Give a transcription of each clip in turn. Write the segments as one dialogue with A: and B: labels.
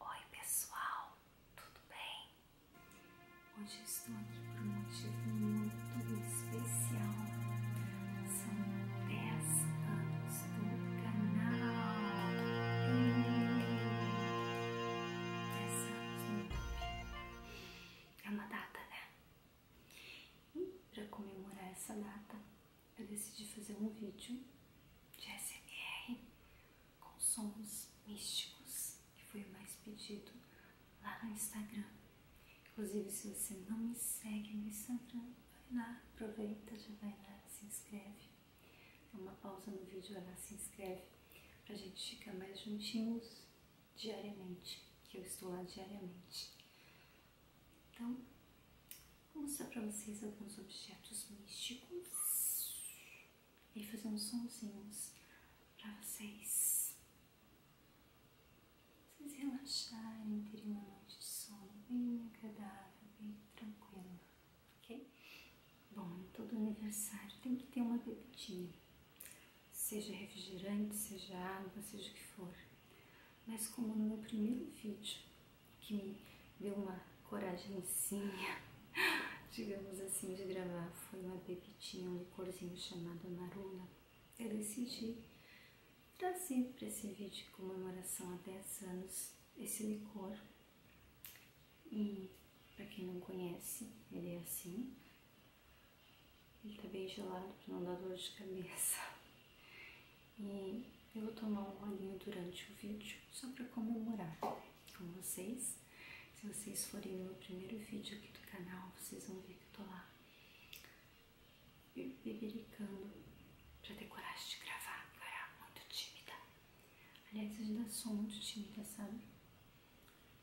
A: Oi pessoal, tudo bem? Hoje estou aqui por um motivo muito especial. São 10 anos do canal. Hum, 10 anos no YouTube. É uma data, né? E para comemorar essa data, eu decidi fazer um vídeo de SMR com sons místicos, que foi mais pedido lá no Instagram. Inclusive, se você não me segue no Instagram, vai lá, aproveita, já vai lá, se inscreve. Dá uma pausa no vídeo, vai lá, se inscreve, para a gente ficar mais juntinhos diariamente, que eu estou lá diariamente. Então, Vou mostrar para vocês alguns objetos místicos e fazer uns sonzinhos para vocês. Vocês relaxarem, terem uma noite de sono bem agradável, bem tranquila, ok? Bom, em todo aniversário tem que ter uma bebidinha, seja refrigerante, seja água, seja o que for. Mas como no meu primeiro vídeo que me deu uma coragenzinha, digamos assim, de gravar foi uma pepitinha, um licorzinho chamado Maruna. Eu decidi trazer para esse vídeo de comemoração a 10 anos esse licor. E para quem não conhece, ele é assim. Ele tá bem gelado para não dar dor de cabeça eu vou tomar um rolinho durante o vídeo só para comemorar com vocês. Se vocês forem no primeiro vídeo aqui do canal, vocês vão ver que eu tô lá e bebericando para ter coragem de gravar, eu era muito tímida. Aliás, eu ainda sou muito tímida, sabe?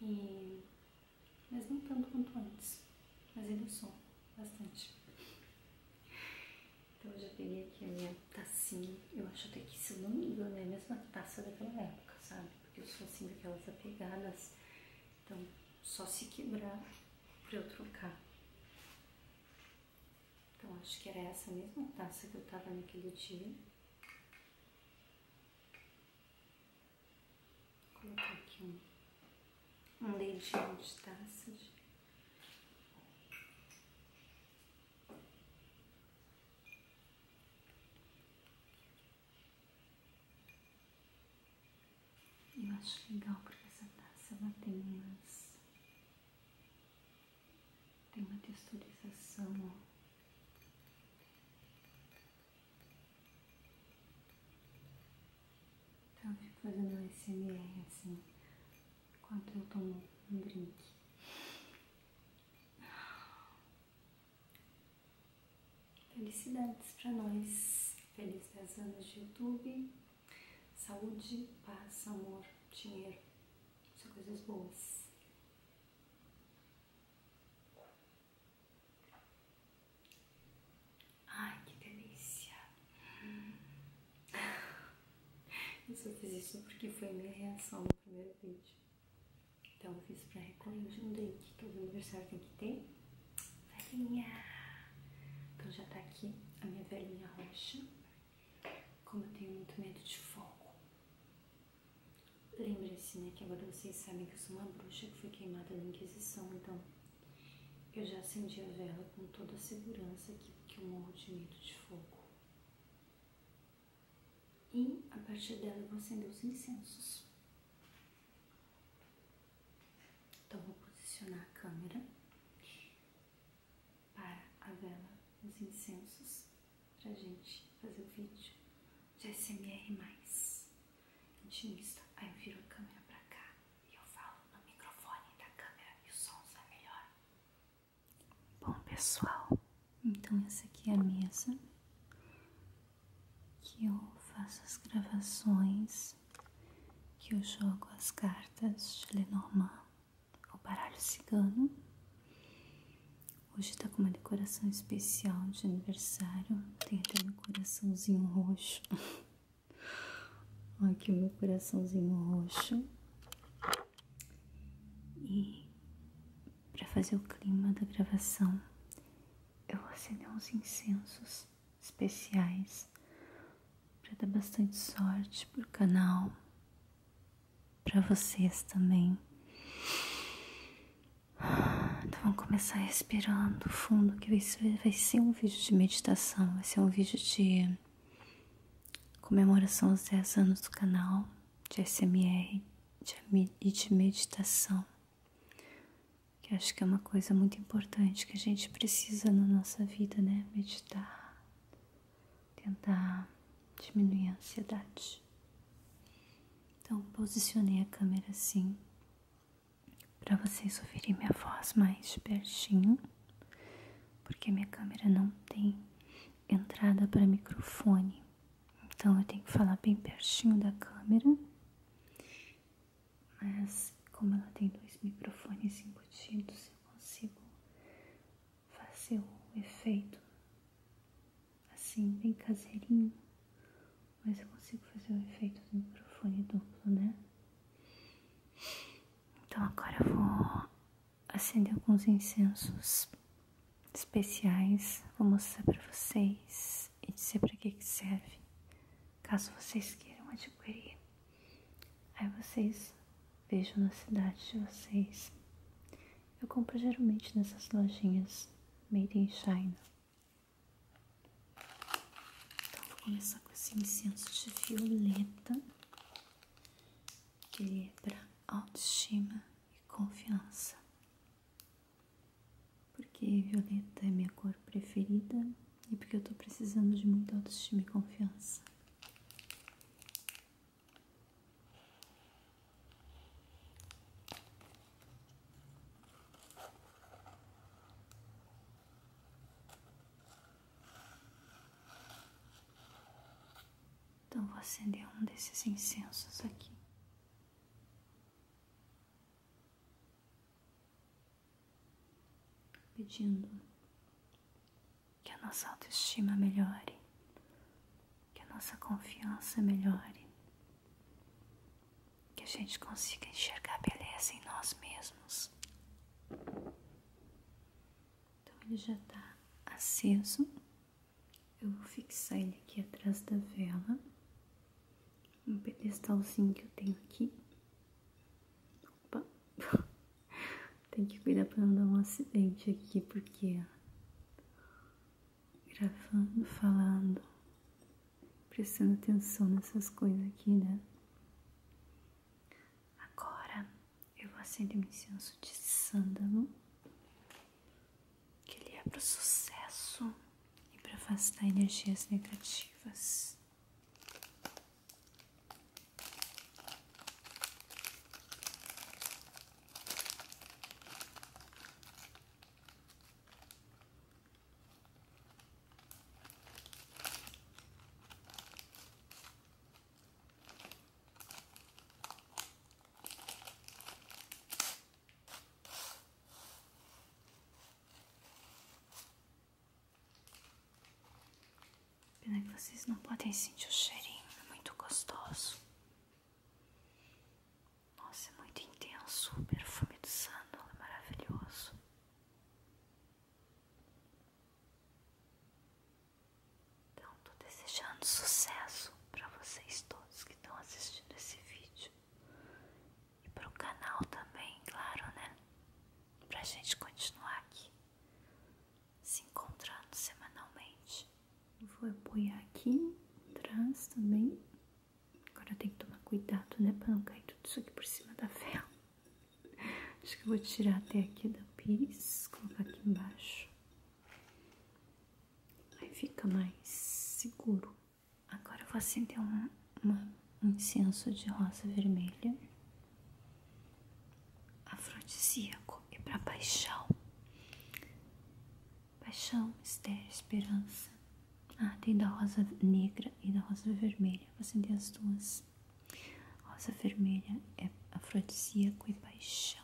A: E... Mas não tanto quanto antes, mas ainda sou bastante. Então eu já peguei aqui a minha tacinha. Eu acho até que, se não me engano, é a mesma taça daquela época, sabe? Porque eu sou assim daquelas apegadas. Então, só se quebrar pra eu trocar. Então, acho que era essa mesma taça que eu tava naquele dia. Vou colocar aqui um, um dedinho de taça, eu acho legal porque essa taça ela tem umas. tem uma texturização, ó. Então eu um fazendo um SMR assim enquanto eu tomo um drink. Felicidades para nós. Feliz 10 anos de YouTube. Saúde, paz, amor, dinheiro. São coisas boas. Ai, que delícia. Eu só fiz isso porque foi minha reação no primeiro vídeo. Então eu fiz pra recolher um que Todo é aniversário tem que ter velhinha. Então já tá aqui a minha velhinha roxa. Como eu tenho muito medo de fogo. Lembre-se, né, que agora vocês sabem que eu sou uma bruxa que foi queimada na Inquisição, então eu já acendi a vela com toda a segurança aqui, porque eu morro de medo de fogo. E a partir dela eu vou acender os incensos. Então vou posicionar a câmera para a vela dos incensos para a gente fazer o vídeo de ASMR mais intimista. Aí eu viro a câmera para cá e eu falo no microfone da câmera e o som sai é melhor. Bom, pessoal, então essa aqui é a mesa que eu faço as gravações, que eu jogo as cartas de Lenormand, o baralho cigano. Hoje tá com uma decoração especial de aniversário, tem até um coraçãozinho roxo. Aqui o meu coraçãozinho roxo. E para fazer o clima da gravação, eu vou acender uns incensos especiais para dar bastante sorte pro canal, para vocês também. Então vamos começar respirando fundo, que vai ser um vídeo de meditação, vai ser um vídeo de comemoração aos 10 anos do canal de SMR e de meditação, que acho que é uma coisa muito importante que a gente precisa na nossa vida, né? Meditar, tentar diminuir a ansiedade. Então, posicionei a câmera assim, para vocês ouvirem minha voz mais de pertinho porque minha câmera não tem entrada para microfone. Então eu tenho que falar bem pertinho da câmera. Mas como ela tem dois microfones embutidos, eu consigo fazer o efeito assim, bem caseirinho. Mas eu consigo fazer o efeito do microfone duplo, né? Então agora eu vou acender alguns incensos especiais. Vou mostrar para vocês e dizer para que, que serve, caso vocês queiram adquirir. Aí vocês vejam na cidade de vocês. Eu compro geralmente nessas lojinhas Made in China. Então vou começar com esse incenso de violeta que lhe é para autoestima e confiança. Porque violeta é minha cor preferida e porque eu estou precisando de muita autoestima e confiança. Então vou acender um desses incensos aqui. Pedindo que a nossa autoestima melhore, que a nossa confiança melhore, que a gente consiga enxergar beleza em nós mesmos. Então ele já está aceso. Eu vou fixar ele aqui atrás da vela. Um pedestalzinho que eu tenho aqui. Opa! Tem que cuidar para não dar um acidente aqui, porque gravando, falando, prestando atenção nessas coisas aqui, né? Agora eu vou acender um incenso de sândalo, que ele é para sucesso e para afastar energias negativas. Pena que vocês não podem sentir o cheirinho, é muito gostoso. Nossa, é muito intenso o perfume do sândalo, é maravilhoso. Então, estou desejando sucesso para vocês todos que estão assistindo esse vídeo e para o canal também, claro, né? Para a gente continuar aqui se encontrando semanalmente. Vou apoiar aqui atrás também. Agora tem que tomar cuidado, né, para não cair tudo isso aqui por cima da vela. Acho que eu vou tirar até aqui da pires, colocar aqui embaixo. Aí fica mais seguro. Agora eu vou acender um incenso de rosa vermelha. Afrodisíaco. E é para paixão. Paixão, mistério, esperança. Ah, tem da rosa negra e da rosa vermelha. Vou acender as duas. Rosa vermelha é afrodisíaco e paixão.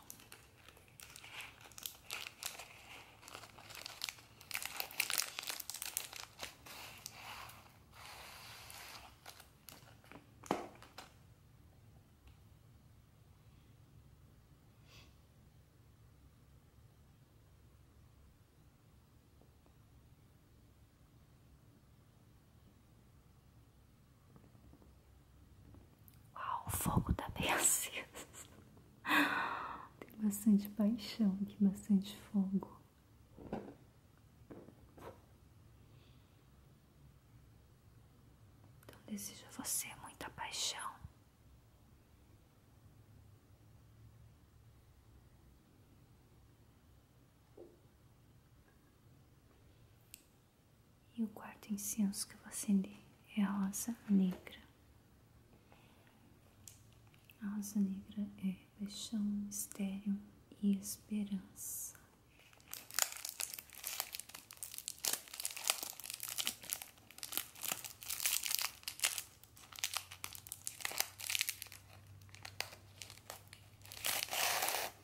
A: Uau, o fogo tá bem aceso. Tem bastante paixão aqui, bastante fogo. Então desejo a você muita paixão. E o quarto incenso que eu vou acender é a rosa negra. rosa negra é paixão, mistério e esperança.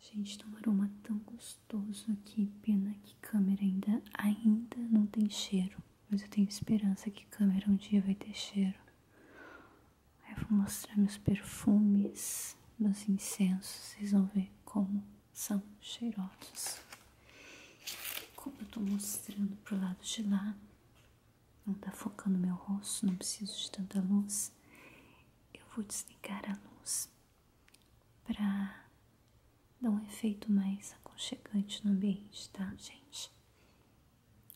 A: Gente, tá um aroma tão gostoso aqui. Pena que a câmera ainda, ainda não tem cheiro. Mas eu tenho esperança que a câmera um dia vai ter cheiro. Aí eu vou mostrar meus perfumes, meus incensos. Vocês vão ver como são cheirosos. Como eu estou mostrando pro lado de lá, não está focando no meu rosto, não preciso de tanta luz. Eu vou desligar a luz para dar um efeito mais aconchegante no ambiente, tá, gente?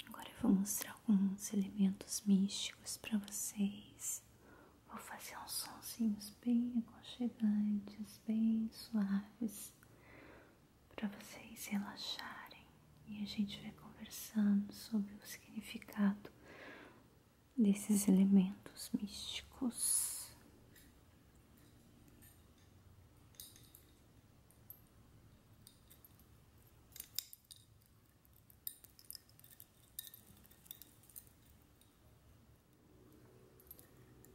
A: Agora eu vou mostrar alguns elementos místicos para vocês. Vou fazer uns sonsinhos bem aconchegantes, bem suaves, para vocês relaxarem e a gente vai conversando sobre o significado desses elementos místicos.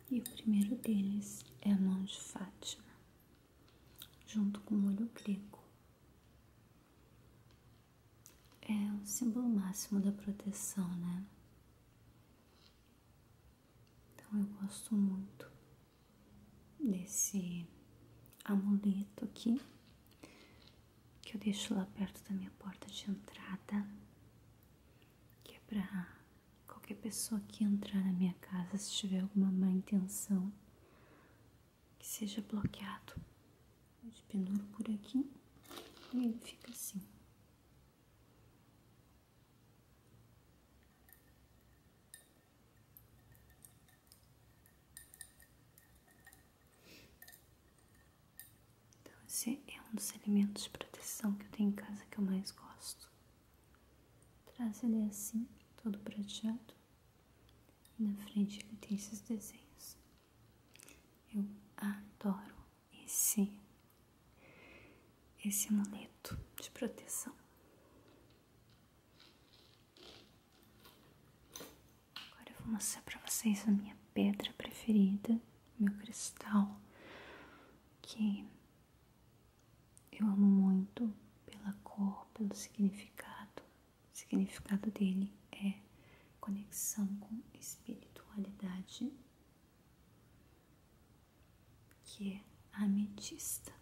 A: E o primeiro deles é a mão de Fátima, junto com o olho grego. É o símbolo máximo da proteção, né? Então eu gosto muito desse amuleto aqui que eu deixo lá perto da minha porta de entrada, que é para Qualquer pessoa que entrar na minha casa, se tiver alguma má intenção, que seja bloqueado. Eu penduro por aqui e ele fica assim. Então, esse é um dos elementos de proteção que eu tenho em casa que eu mais gosto. Traz ele assim, todo prateado. na frente ele tem esses desenhos. Eu adoro esse esse amuleto de proteção. Agora eu vou mostrar para vocês a minha pedra preferida, meu cristal, que eu amo muito pela cor, pelo significado. O significado dele é conexão com espiritualidade, que é ametista.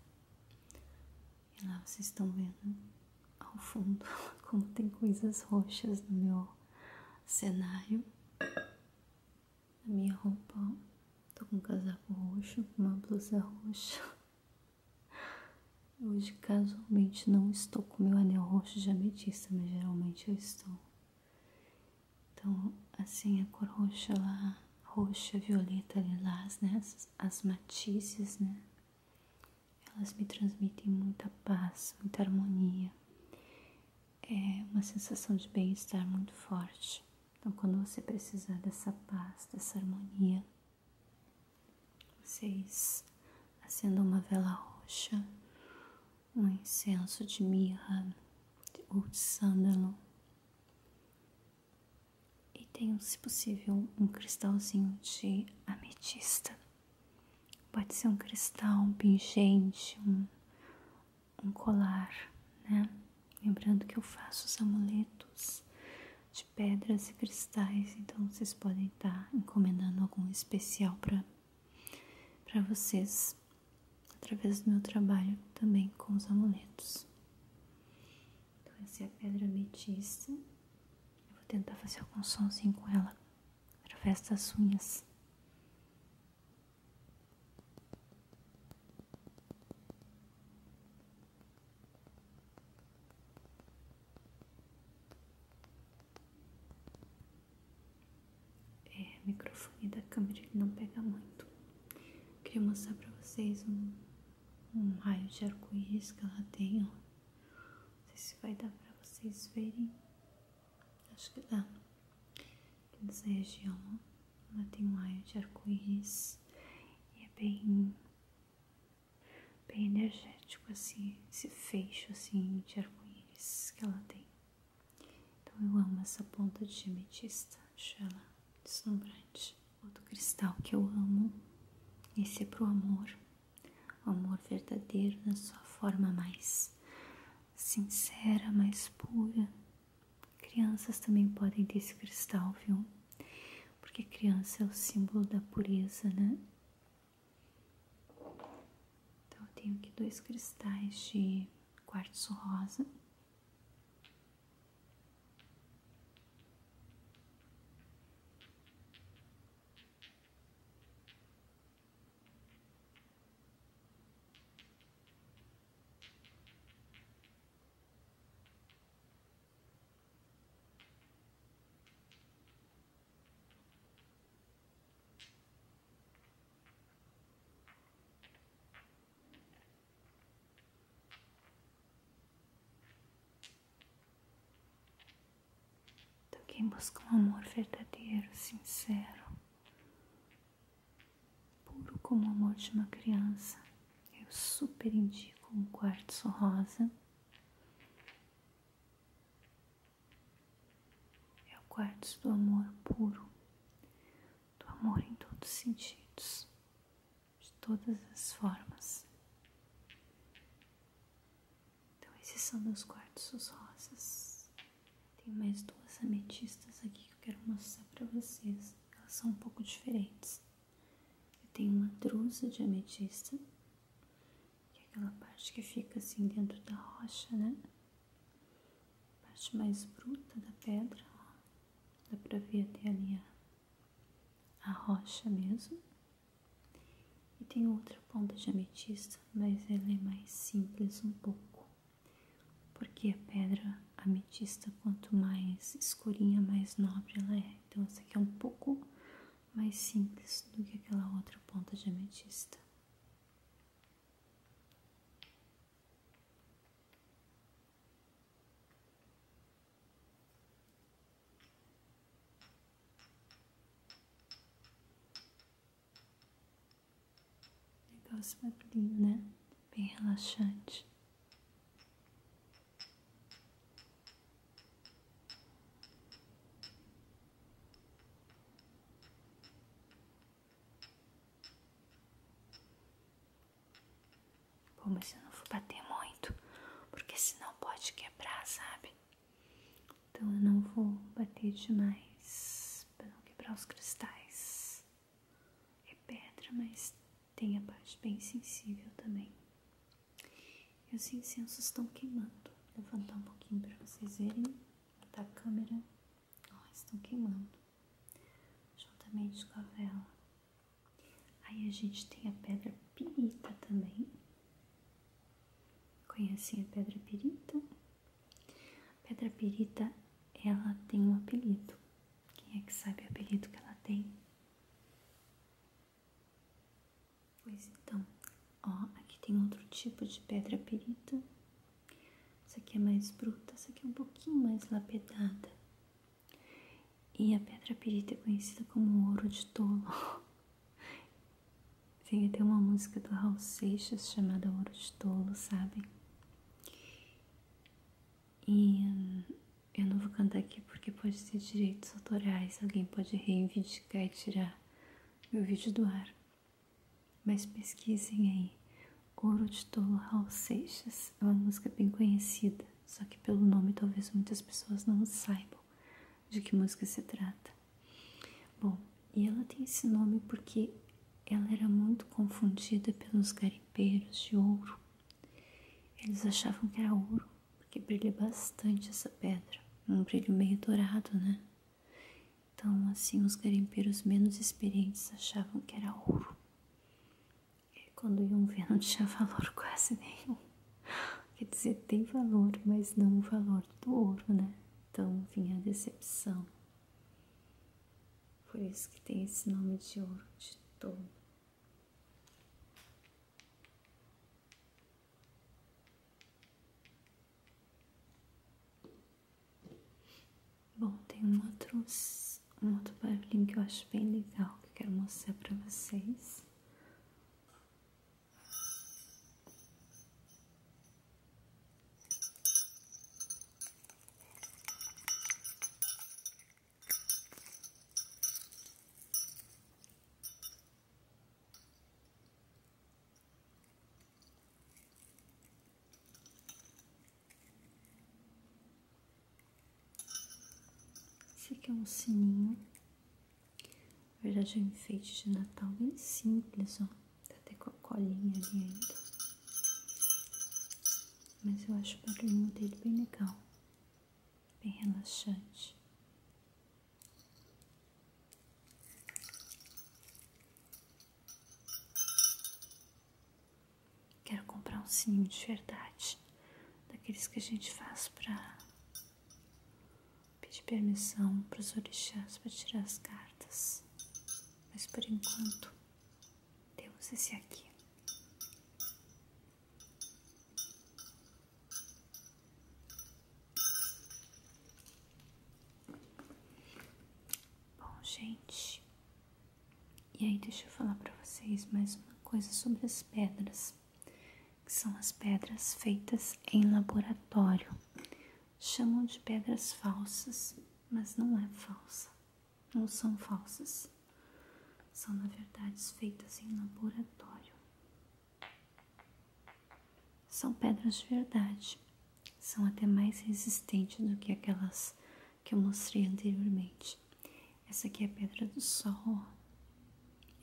A: E lá vocês estão vendo ao fundo como tem coisas roxas no meu cenário a minha roupa, Tô com um casaco roxo, uma blusa roxa. Hoje, casualmente, não estou com meu anel roxo de ametista, mas geralmente eu estou. Então, assim, a cor roxa lá, roxa, violeta, lilás, né? As, as matizes, né? Elas me transmitem muita paz, muita harmonia. É uma sensação de bem-estar muito forte. Então, quando você precisar dessa paz, dessa harmonia, vocês acendam uma vela roxa, um incenso de mirra ou de sândalo e tem se possível, um cristalzinho de ametista. Pode ser um cristal, um pingente, um, um colar, né? Lembrando que eu faço os amuletos de pedras e cristais, então vocês podem estar encomendando algum especial para para vocês através do meu trabalho também com os amuletos. Então essa é a pedra ametista. Eu vou tentar fazer algum somzinho com ela através das unhas. É, o microfone da câmera ele não pega muito. Queria mostrar pra vocês um, raio de arco-íris que ela tem, ó. Não sei se vai dar pra vocês verem. Acho que dá. Aqui nessa região, ó. Ela tem um raio de arco-íris e é bem, bem energético assim, esse fecho assim de arco-íris que ela tem. Então eu amo essa ponta de ametista, acho ela deslumbrante. Outro cristal que eu amo, esse é pro amor, o amor verdadeiro na sua forma mais sincera, mais pura Crianças também podem ter esse cristal, viu? Porque criança é o símbolo da pureza, né? Então eu tenho aqui dois cristais de quartzo rosa. Então, quem busca um amor verdadeiro, sincero, puro como o amor de uma criança. Eu super indico um quartzo rosa. É o quartzo do amor puro, do amor em todos os sentidos, de todas as formas. Então, esses são meus quartzos rosas. Tem mais duas ametistas aqui que eu quero mostrar para vocês. Elas são um pouco diferentes. Eu tenho uma drusa de ametista, que é aquela parte que fica assim dentro da rocha, né? A parte mais bruta da pedra, ó. Dá pra ver até ali a, a rocha mesmo. E tem outra ponta de ametista, mas ela é mais simples um pouco. Porque a pedra ametista, quanto mais escurinha, mais nobre ela é. Então, essa aqui é um pouco mais simples do que aquela outra ponta de ametista. Negócio muito lindo, né? Bem relaxante. Como se eu não for bater muito, porque senão pode quebrar, sabe? Então eu não vou bater demais para não quebrar os cristais é pedra, mas tem a parte bem sensível também. E os incensos estão queimando. Vou levantar um pouquinho para vocês verem. Botar a câmera. estão queimando. Juntamente com a vela. Aí a gente tem a pedra pirita também. Conhecem a pedra pirita? A pedra pirita, ela tem um apelido. Quem é que sabe o apelido que ela tem? Pois então, ó, aqui tem outro tipo de pedra pirita. Essa aqui é mais bruta, essa aqui é um pouquinho mais lapidada. E a pedra pirita é conhecida como ouro de tolo. Vem até uma música do Raul Seixas chamada Ouro de Tolo, sabem? E hum, eu não vou cantar aqui porque pode ter direitos autorais, alguém pode reivindicar e tirar meu vídeo do ar. Mas pesquisem aí. Ouro de Tolo Raul Seixas é uma música bem conhecida, só que pelo nome talvez muitas pessoas não saibam de que música se trata. Bom, e ela tem esse nome porque ela era muito confundida pelos garimpeiros de ouro. Eles achavam que era ouro, porque brilha bastante essa pedra, um brilho meio dourado, né? Então, assim, os garimpeiros menos experientes achavam que era ouro. E quando iam ver, não tinha valor quase nenhum. Quer dizer, tem valor, mas não o valor do ouro, né? Então vinha a decepção. Por isso que tem esse nome de ouro de touro. Bom, tem um outro, um outro barulhinho que eu acho bem legal que eu quero mostrar para vocês. Esse aqui é um sininho, na verdade é enfeite de Natal bem simples, ó. Tá até com a colinha ali ainda. Mas eu acho o barulhinho dele bem legal. Bem relaxante. Quero comprar um sim de verdade. Daqueles que a gente faz pra pedir permissão pros orixás pra tirar as cartas mas por enquanto temos esse aqui. Bom, gente, e aí deixa eu falar para vocês mais uma coisa sobre as pedras, que são as pedras feitas em laboratório chamam de pedras falsas, mas não é falsa, não são falsas. São, na verdade, feitas em laboratório. São pedras de verdade, são até mais resistentes do que aquelas que eu mostrei anteriormente. Essa aqui é a pedra do sol,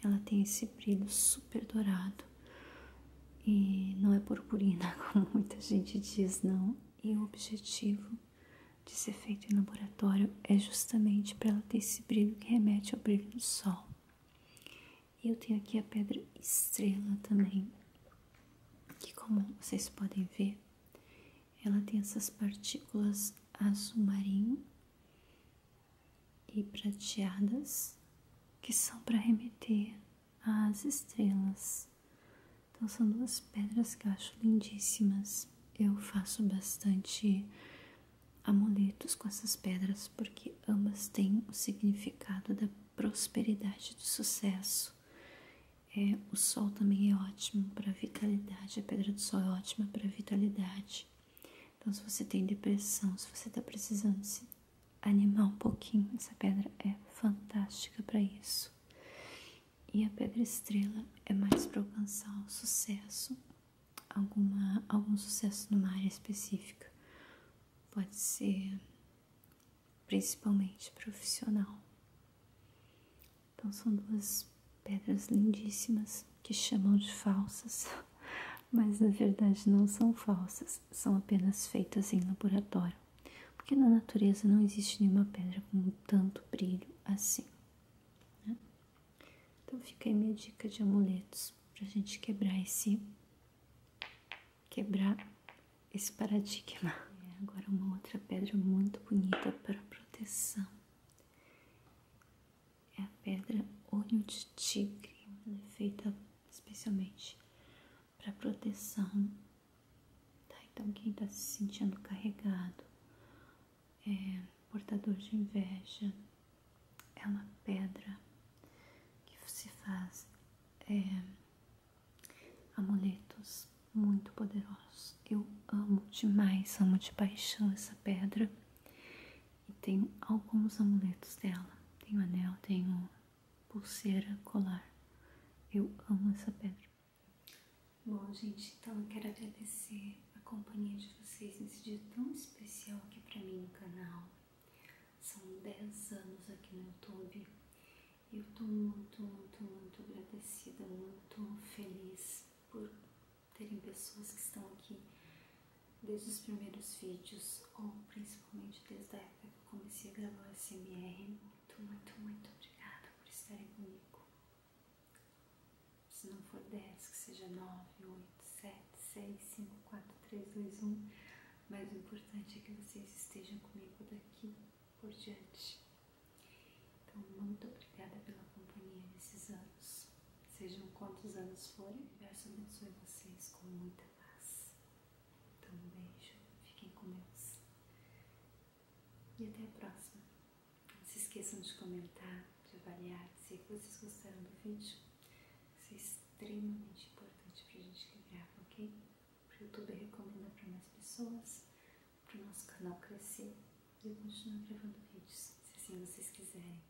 A: ela tem esse brilho super dourado, e não é purpurina, como muita gente diz, não. E o objetivo de ser feito em laboratório é justamente para ela ter esse brilho que remete ao brilho do sol. E eu tenho aqui a pedra estrela também, que como vocês podem ver, ela tem essas partículas azul marinho e prateadas que são para remeter as estrelas. Então são duas pedras que acho lindíssimas. Eu faço bastante amuletos com essas pedras porque ambas têm o significado da prosperidade, do sucesso. É, o sol também é ótimo para vitalidade, a pedra do sol é ótima para vitalidade. Então, se você tem depressão, se você está precisando se animar um pouquinho. Essa pedra é fantástica para isso. E a pedra estrela é mais para alcançar o sucesso, alguma, algum sucesso numa área específica. Pode ser principalmente profissional. Então são duas pedras lindíssimas que chamam de falsas, mas na verdade não são falsas, são apenas feitas em laboratório. Porque na natureza não existe nenhuma pedra com tanto brilho assim. Né? Então fica aí minha dica de amuletos para a gente quebrar esse quebrar esse paradigma. É, agora uma outra pedra muito bonita para proteção. É a pedra olho de tigre, é feita especialmente para proteção. Tá? Então, quem está se sentindo carregado, é, portador de inveja, é uma pedra que se faz é, amuletos muito poderosos. Eu amo demais, amo de paixão essa pedra. E tenho alguns amuletos dela. Tem Tenho anel, tem tenho pulseira, colar. Eu amo essa pedra. Bom, gente, então quero agradecer a companhia de vocês nesse dia tão especial aqui para mim no canal. São 10 anos aqui no YouTube. Eu tô muito, muito, muito agradecida, muito feliz por terem pessoas que estão aqui desde os primeiros vídeos ou principalmente desde a época comecei a gravar o SMR. Muito, muito, muito obrigada por estarem comigo. Se não for 10, que seja 9, 8, 7, 6, 5, 4, 3, 2, 1. Mas o importante é que vocês estejam comigo daqui por diante. Então, muito obrigada pela companhia nesses anos. Sejam quantos anos forem, o universo abençoe vocês com muita paz. Então, um beijo, fiquem com Deus. E até a próxima. Não se esqueçam de comentar, de avaliar. Se vocês gostaram do vídeo, isso é extremamente importante para a gente que grava, ok? Para o YouTube recomenda para mais pessoas, para o nosso canal crescer e eu continuar gravando vídeos, se assim vocês quiserem.